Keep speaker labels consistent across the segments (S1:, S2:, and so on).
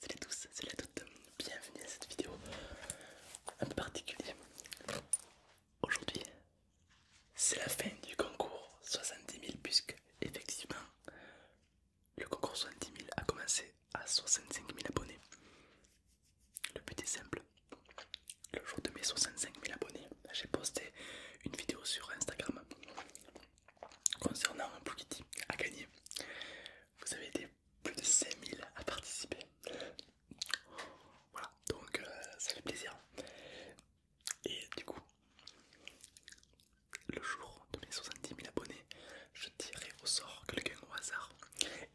S1: Salut à tous, salut à toutes, bienvenue à cette vidéo un peu particulière. Aujourd'hui, c'est la fin du concours 70 000 puisque effectivement le concours 70 000 a commencé à 65 000 abonnés. Le but est simple. Le jour de mes 65 000 abonnés, j'ai posté une vidéo sur Instagram concernant un Blue à gagner. Vous avez été plus de 5000 à participer. Voilà, donc euh, ça fait plaisir. Et du coup, le jour de mes 70 000 abonnés, je tirerai au sort quelqu'un au hasard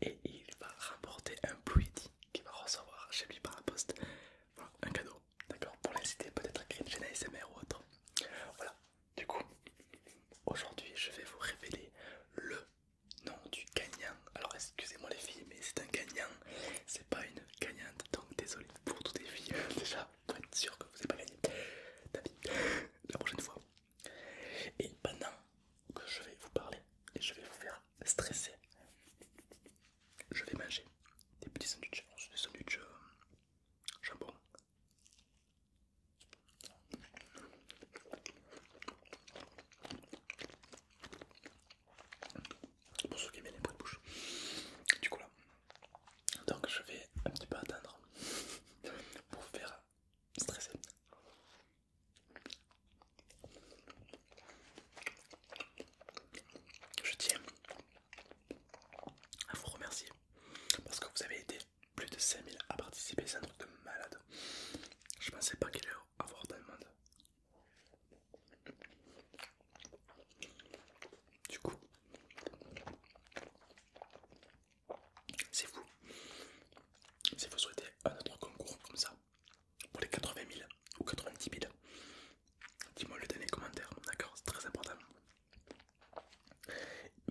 S1: et il va remporter un Pluidi qu'il va recevoir chez lui par la poste. un cadeau, d'accord Pour l'inciter peut-être à créer une chaîne ou autre. Voilà, du coup, aujourd'hui je vais vous révéler le nom du gagnant. Alors excusez-moi les filles, mais c'est un gagnant, c'est pas une gagnante, donc désolé pour toutes les filles déjà pour être sûr que vous n'avez pas gagné la prochaine fois. Et pendant que je vais vous parler et je vais vous faire stresser, je vais manger des petits sandwichs, des sandwichs euh, jambon. Pour ceux qui aiment les bruits de bouche. Du coup là, donc je vais un petit peu attendre pour vous faire stresser. Je tiens à vous remercier parce que vous avez aidé plus de 5000 à participer, c'est un truc de malade. Je pensais pas qu'il y aurait avoir dans monde. Du coup, c'est vous, Si vous souhaitez un autre concours comme ça, pour les 80 000 ou 90 000, dis-moi le dernier commentaire, d'accord C'est très important.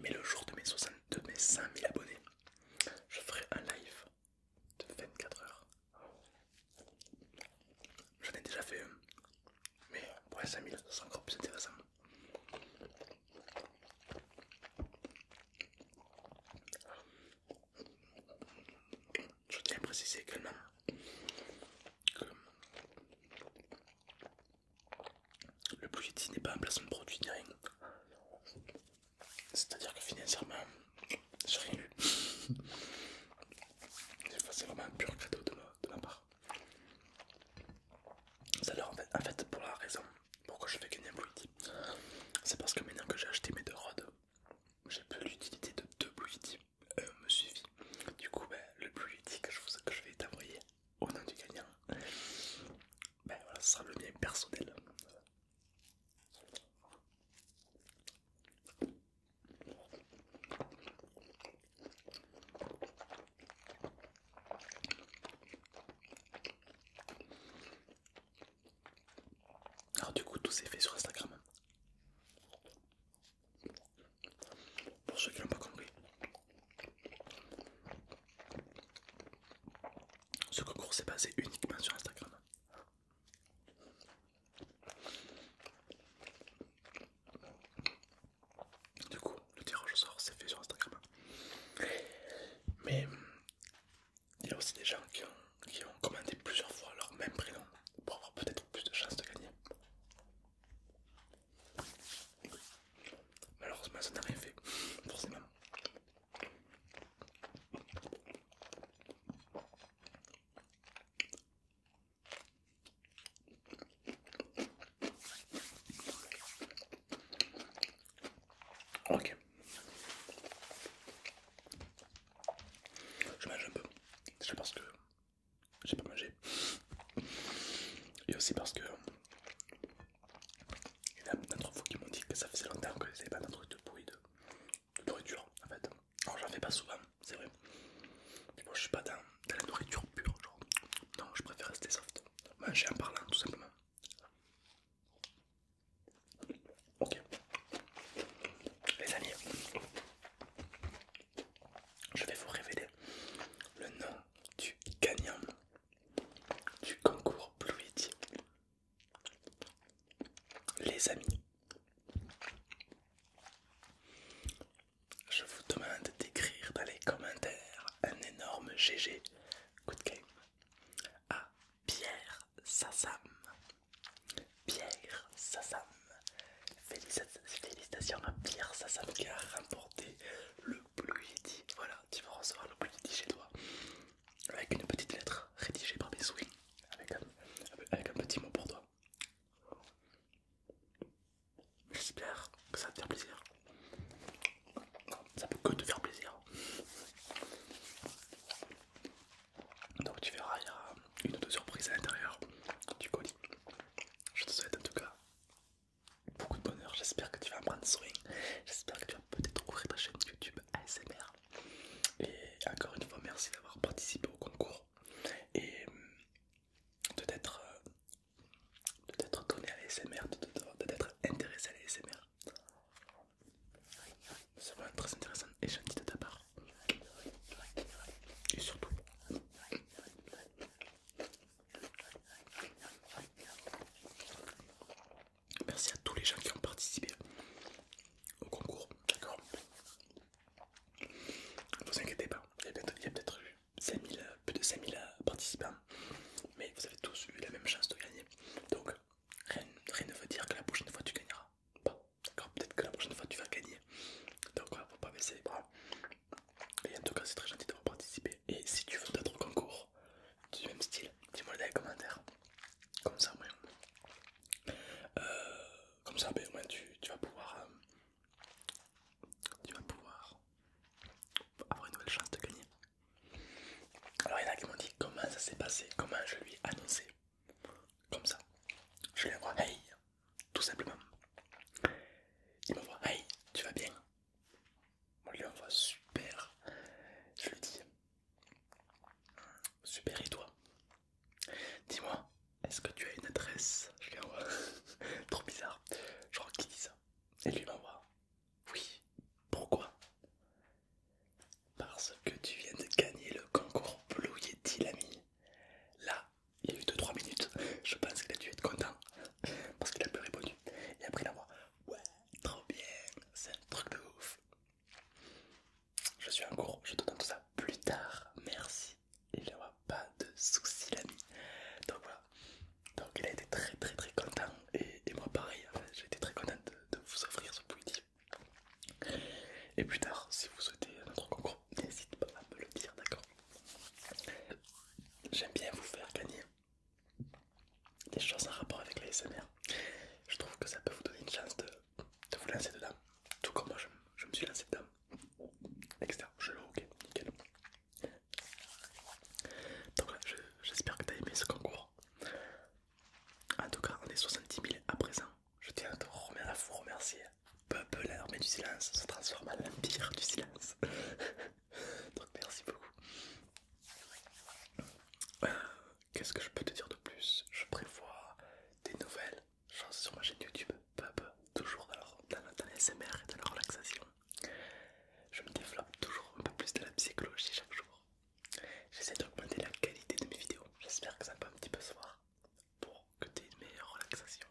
S1: Mais le jour de mes, 62 000 abonnés, je ferai un live de 24 heures J'en ai déjà fait un, mais pour les 5000, c'est encore plus intéressant. Je tiens à préciser également que le budget n'est pas un placement de produit ni rien. C'est-à-dire que financièrement, j'ai rien lu c'est vraiment un pur cadeau de ma, part. Ça en fait, pour la raison pourquoi je fais gagner un Blue c'est parce que maintenant que j'ai acheté mes deux rods, j'ai plus l'utilité de deux Blue euh, me suivit. Du coup, ben, le Blue que je, que je vais t'envoyer au nom du gagnant, ben voilà, ce sera le mien personnel. Alors du coup tout s'est fait sur Instagram. Pour ceux qui l'ont pas compris. Ce concours s'est basé uniquement sur Instagram. Du coup, le tirage au sort s'est fait sur Instagram. Mais il y a aussi des gens qui ont, commandé plusieurs fois leur même prénom pour avoir peut-être plus de chances de gagner. Malheureusement, ça n'a rien fait, forcément. Ok. Je mange un peu. c'est parce que j'ai pas mangé. Et aussi parce que il y en a d'entre vous qui m'ont dit que ça faisait longtemps que je pas d'un truc de bruit de, de nourriture en fait. non j'en fais pas souvent, c'est vrai. Mais moi je suis pas dans, la nourriture pure, genre. Non, je préfère rester soft. Manger en parlant tout simplement. Ok. Les amis, je vais vous révéler le nom du gagnant du concours Blue les amis, je vous demande d'écrire dans les commentaires un énorme GG Good Game à Pierre Sassam. Pierre Sassam. Félicitations à Pierre Sassam qui a remporté le Blue Yeti. Voilà, tu vas recevoir le Blue Yeti chez toi avec une petite lettre rédigée par mes swings avec un, petit mot pour toi. J'espère que ça va te faire plaisir. ça peut que te faire plaisir. Donc tu verras, il y a une ou deux surprises à l'intérieur du colis. Je te souhaite en tout cas beaucoup de bonheur. J'espère que tu vas en prendre J'espère que peut-être ouvrir ta chaîne YouTube ASMR. Et encore une fois, merci d'avoir participé au concours et euh, euh, de t'être donné à l'ASMR, de t'être intéressé à l'ASMR. C'est vraiment très intéressant et gentil de ta part. Et surtout, Merci à tous les gens qui ont participé au concours, d'accord Ne vous inquiétez pas, il y a peut-être plus de 5000 participants, mais vous avez tous eu la même chance de gagner. Donc rien, ne veut dire que la prochaine fois tu gagneras pas, d'accord Peut-être que la prochaine fois tu vas gagner. Donc ne faut pas baisser les bras. Et en tout cas c'est très gentil d'avoir participé. Et si tu veux d'autres concours, du même style, dis-moi dans les commentaires. Comme ça, moi, euh, comme ça, ben, tu, vas pouvoir, euh, tu vas pouvoir avoir une nouvelle chance de gagner. Alors, il y en a qui m'ont dit comment ça s'est passé, comment je lui ai annoncé, comme ça. Je lui envoie hey, tout simplement. Il voit hey, tu vas bien, on lui envoie super. Je lui dis Super, et toi Dis-moi, est-ce que tu as une adresse Je lui envoie Trop bizarre. Je crois qu'il dit ça. Et lui m'envoie Oui, pourquoi Parce que tu viens de gagner le concours Blue Yeti, l'ami. Là, il y a eu 2-3 minutes. Je pense que a dû être content parce qu'il a plus répondu. Et après, il envoie Ouais, trop bien, c'est un truc de ouf. Je suis en cours, je te donne tout ça plus tard, merci. Il n'y aura pas de soucis, l'ami. Donc voilà, donc il a été très très très content et, moi pareil, j'ai été très content de, vous offrir ce Pouilly. Et plus tard, si vous souhaitez un autre concours, n'hésite pas à me le dire, d'accord j'aime bien vous faire gagner des choses en rapport avec la SMR. Je trouve que ça peut vous donner une chance de, vous lancer dedans. Tout comme moi, je, me suis lancé dedans. Etc. Je l'ai ok, nickel. Donc là, j'espère que tu as aimé ce concours. En tout cas, on est 70 000 à présent. Je tiens à vous remercier peu à l'armée du silence se transforme en l'empire du silence. Donc merci beaucoup. Euh, qu'est-ce que je peux te dire de plus Je prévois des nouvelles choses sur ma chaîne YouTube, peu toujours dans, dans, SMR et dans la relaxation. Je me développe toujours un peu plus de la psychologie chaque jour. J'essaie d'augmenter la qualité de mes vidéos. J'espère que ça va un petit peu se voir pour que tu aies une meilleure relaxation,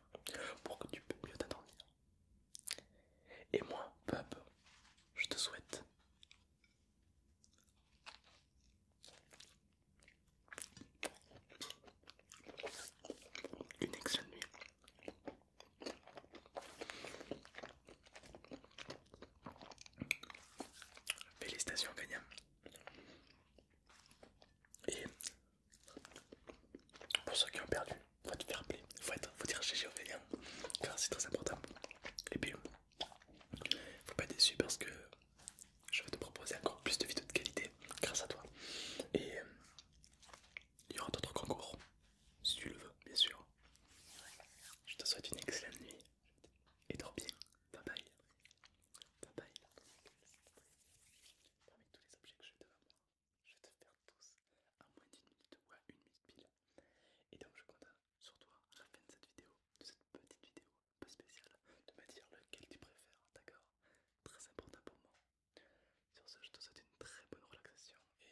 S1: pour que tu puisses mieux t'endormir. Et moi, peu je te souhaite une excellente nuit. Félicitations gagnant. Et pour ceux qui ont perdu, faut être fair play, faut, faut dire GG car c'est très important. Et puis, faut pas être déçu parce que je vais te proposer encore plus de vidéos de qualité grâce à toi. Et il y aura d'autres concours, si tu le veux, bien sûr. Je te souhaite une excellente nuit et dors bien. Bye bye avec tous les objets que j'ai devant moi, je vais te faire tous en moins d'une minute ou à une minute pile. Et donc je compte sur toi à la fin de cette vidéo, de cette petite vidéo un peu spéciale, de me dire lequel tu préfères, d'accord Très important pour moi. Sur ce, je te souhaite une très bonne relaxation et...